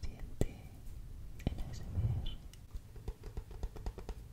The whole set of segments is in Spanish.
Siente el ASMR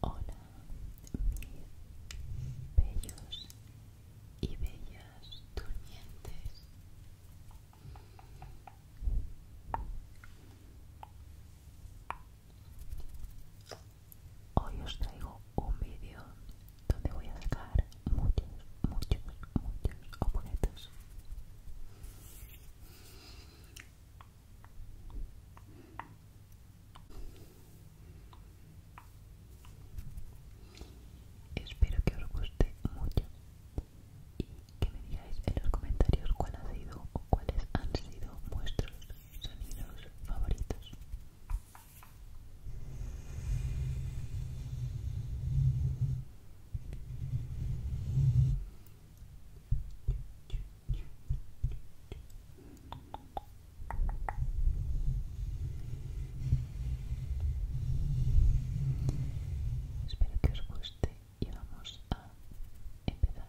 Hola, mis bellos y bellas durmientes. Hoy os traigo un vídeo donde voy a dejar muchos, muchos, muchos objetos Espero que os guste mucho y que me digáis en los comentarios cuál ha sido o cuáles han sido vuestros sonidos favoritos. Espero que os guste y vamos a empezar.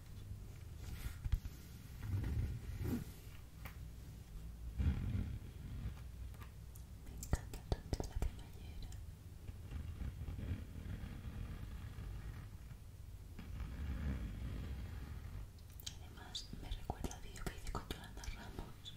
Me encanta tanto la caballera, Además me recuerda a video que hice con Yolanda Ramos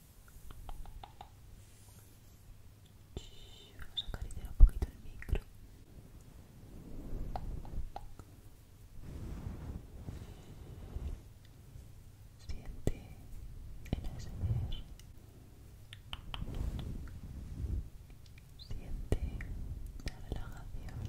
Vamos a acariciar un poquito el micro. Siente el ASMR. Siente la relajación.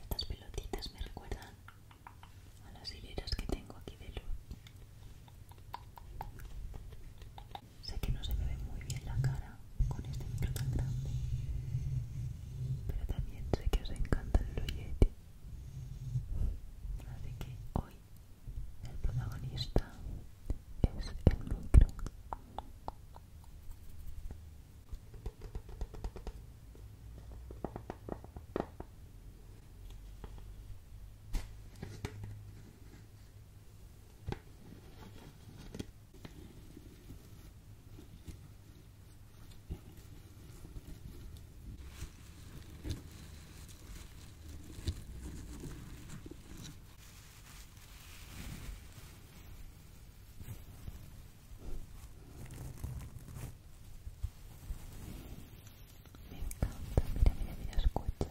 Estas pelotitas me recuerdan a las hileras que tengo aquí de luz. Sé que no se me ve muy bien la cara con este micro tan grande, pero también sé que os encanta el Yeti. Así que hoy el protagonista es el micro. Me encanta, mira, mira, mira, escucha.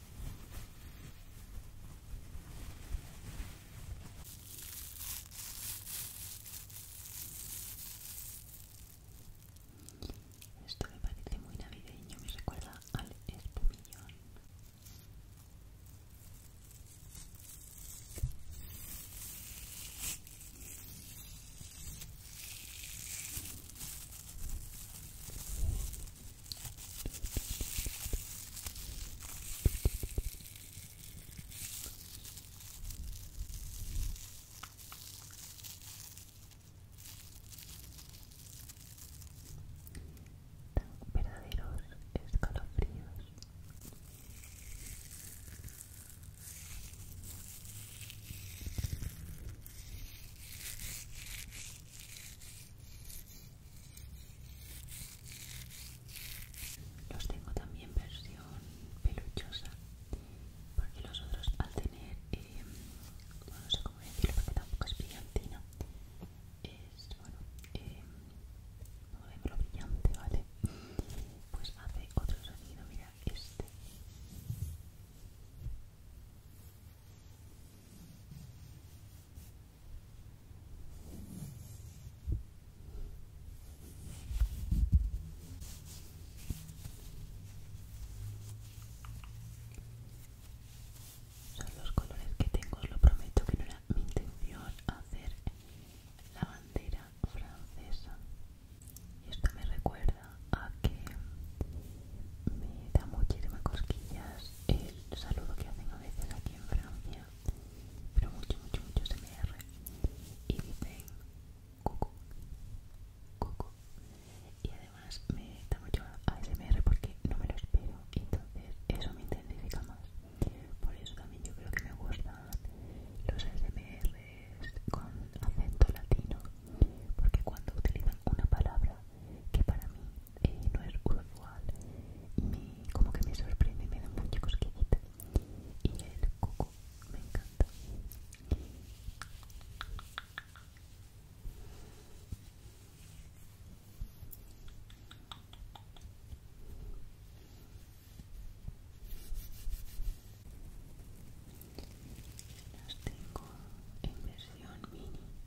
Esto me parece muy navideño, me recuerda al espumillón. Tan verdaderos escalofríos. Los tengo también versión peluchosa, porque los otros al tener, eh, no sé cómo decirlo, porque tampoco es brillantina, es, bueno, eh, no me brillante, ¿vale? Pues hace otro sonido, mira este. Son los colores que tengo, os lo prometo que no era mi intención hacer la bandera francesa. Y esto me recuerda a que me da muchísimas cosquillas el saludo que hacen a veces aquí en Francia, pero mucho, mucho, mucho SMR, y dicen coco cucu, y además me da mucho ASMR porque no me lo espero, entonces eso me intensifica más. Por eso también yo creo que me gustan los ASMRs con acento latino, porque cuando utilizan una palabra que para mí eh, no es usual y me, como que me sorprende, me dan mucha cosquillita y el coco me encanta las tengo en versión mini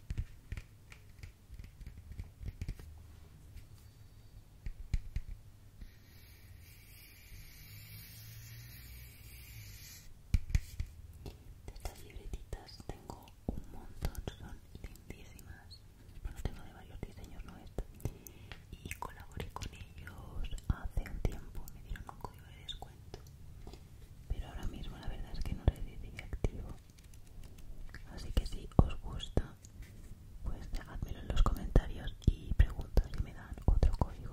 De estas libretitas tengo un montón, son lindísimas. Bueno, tengo de varios diseños, no esta. Y colaboré con ellos hace un tiempo, me dieron un código de descuento pero ahora mismo la verdad es que no le activo así que si os gusta pues dejadmelo en los comentarios y pregunto si me dan otro código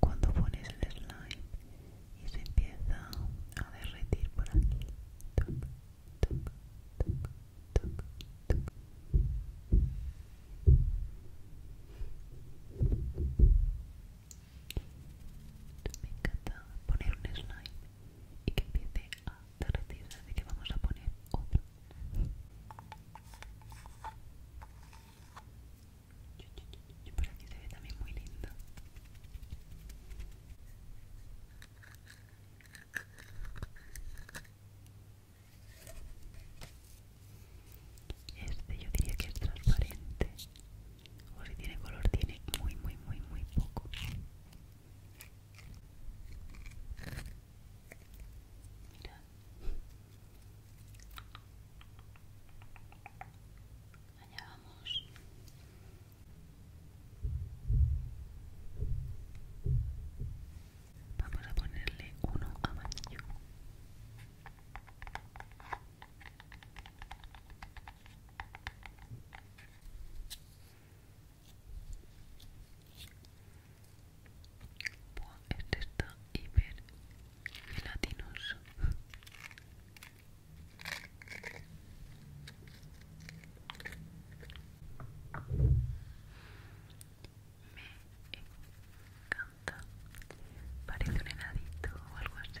cuando pones el slime y se empieza a derretir por aquí Toc, toc, toc, toc, Me encanta poner un slime y que empiece a derretir, así que vamos a poner otro. Y por aquí se ve también muy lindo. Este yo diría que es transparente. O si tiene color, tiene muy, muy, muy, muy poco. Mira, Allá vamos. Vamos a ponerle uno amarillo. Bueno, este está hiper Latinos me encanta parece un o algo así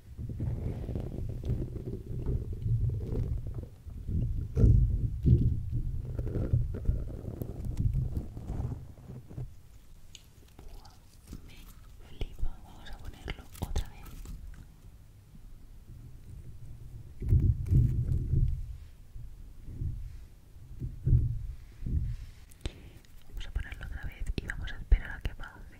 Me flipa, vamos a ponerlo otra vez. Vamos a ponerlo otra vez y vamos a esperar a que pase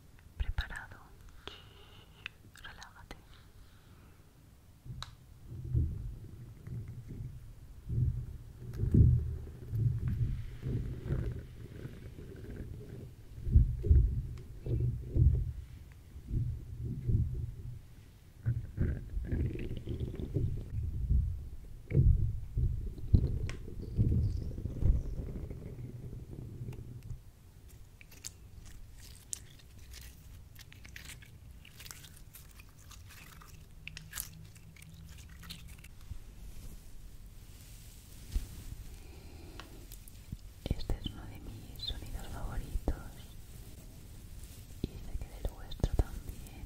preparado. Relájate. Este es uno de mis sonidos favoritos y sé que el vuestro también.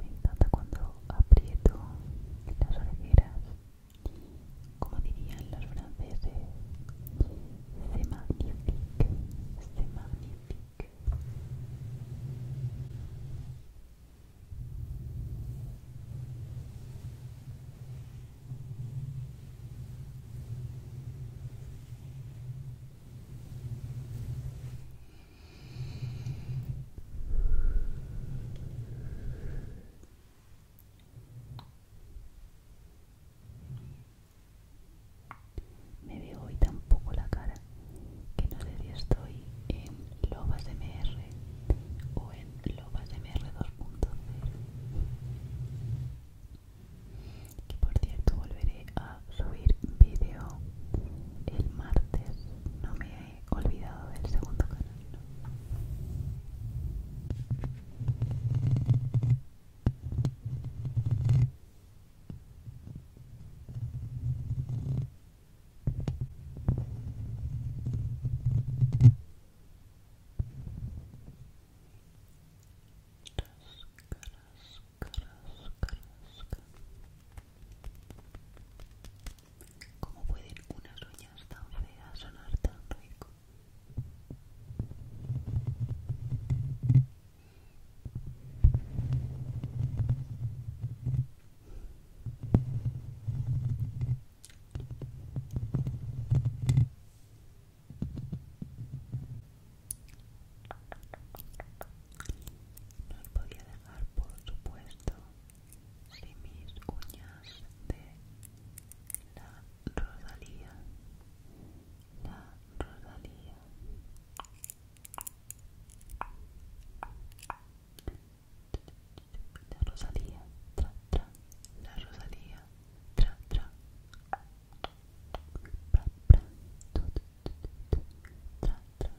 Me encanta cuando aprieto las orejeras, como dirían los franceses, se magnifique, se magnifique. Me veo hoy tampoco la cara que no sé si estoy en Lobas MR o en Lobas MR 2.0 Y por cierto volveré a subir vídeo el martes no me he olvidado del segundo canal ¿Cómo pueden unas uñas tan feas sonar tan rico? No podía dejar, por supuesto, sin mis uñas de la Rosalía. La Rosalía. la rosalia tra tra la rosalia tra tra pra, pra, tu, tu, tu, tu, tra tra Ciao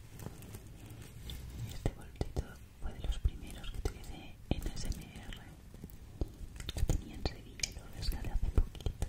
Este bolsito fue de los primeros que tuve en SMR. Lo tenía en Sevilla y lo hace poquito.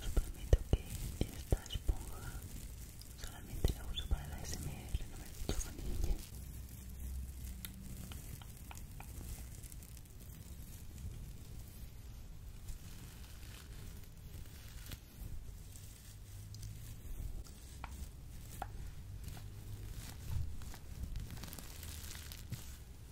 Os prometo que esta esponja solamente la uso para la SMR, no me he niña.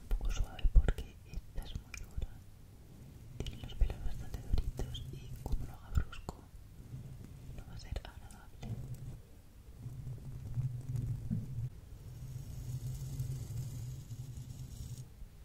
un poco suave porque esta es muy dura. Tiene los pelos bastante duritos y como lo haga brusco no va a ser agradable.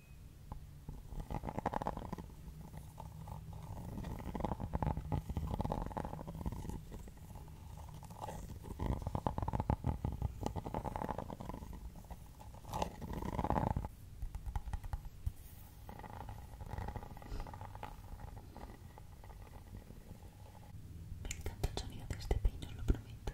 Me encanta el sonido de este peino, os lo prometo.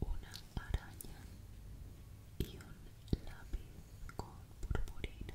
Una araña y un lápiz con purpurina.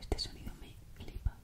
Este sonido me flipa.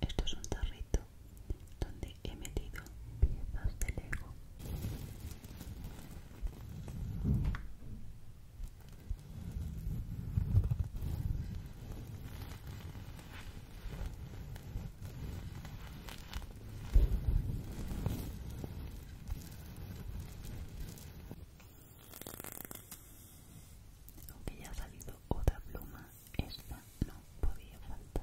Esto es un tarrito donde he metido piezas de Lego. Aunque ya ha salido otra pluma, esta no podía faltar.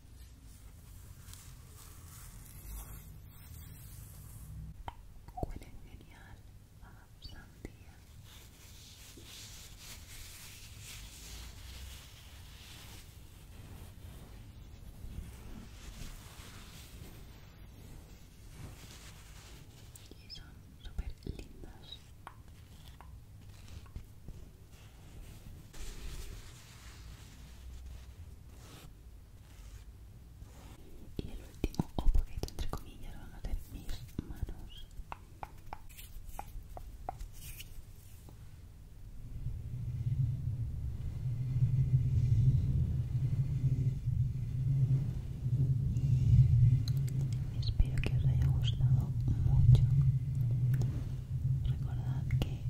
Huelen genial ah, a Y son super lindas. Y el último objeto, entre comillas, van a ser mis manos. Espero que os haya gustado mucho recordad que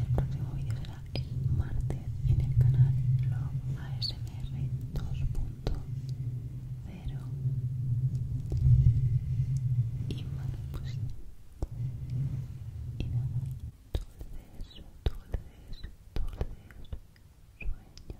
el próximo vídeo será el martes en el canal Love ASMR 2.0 y bueno pues y nada dulces dulces dulces sueños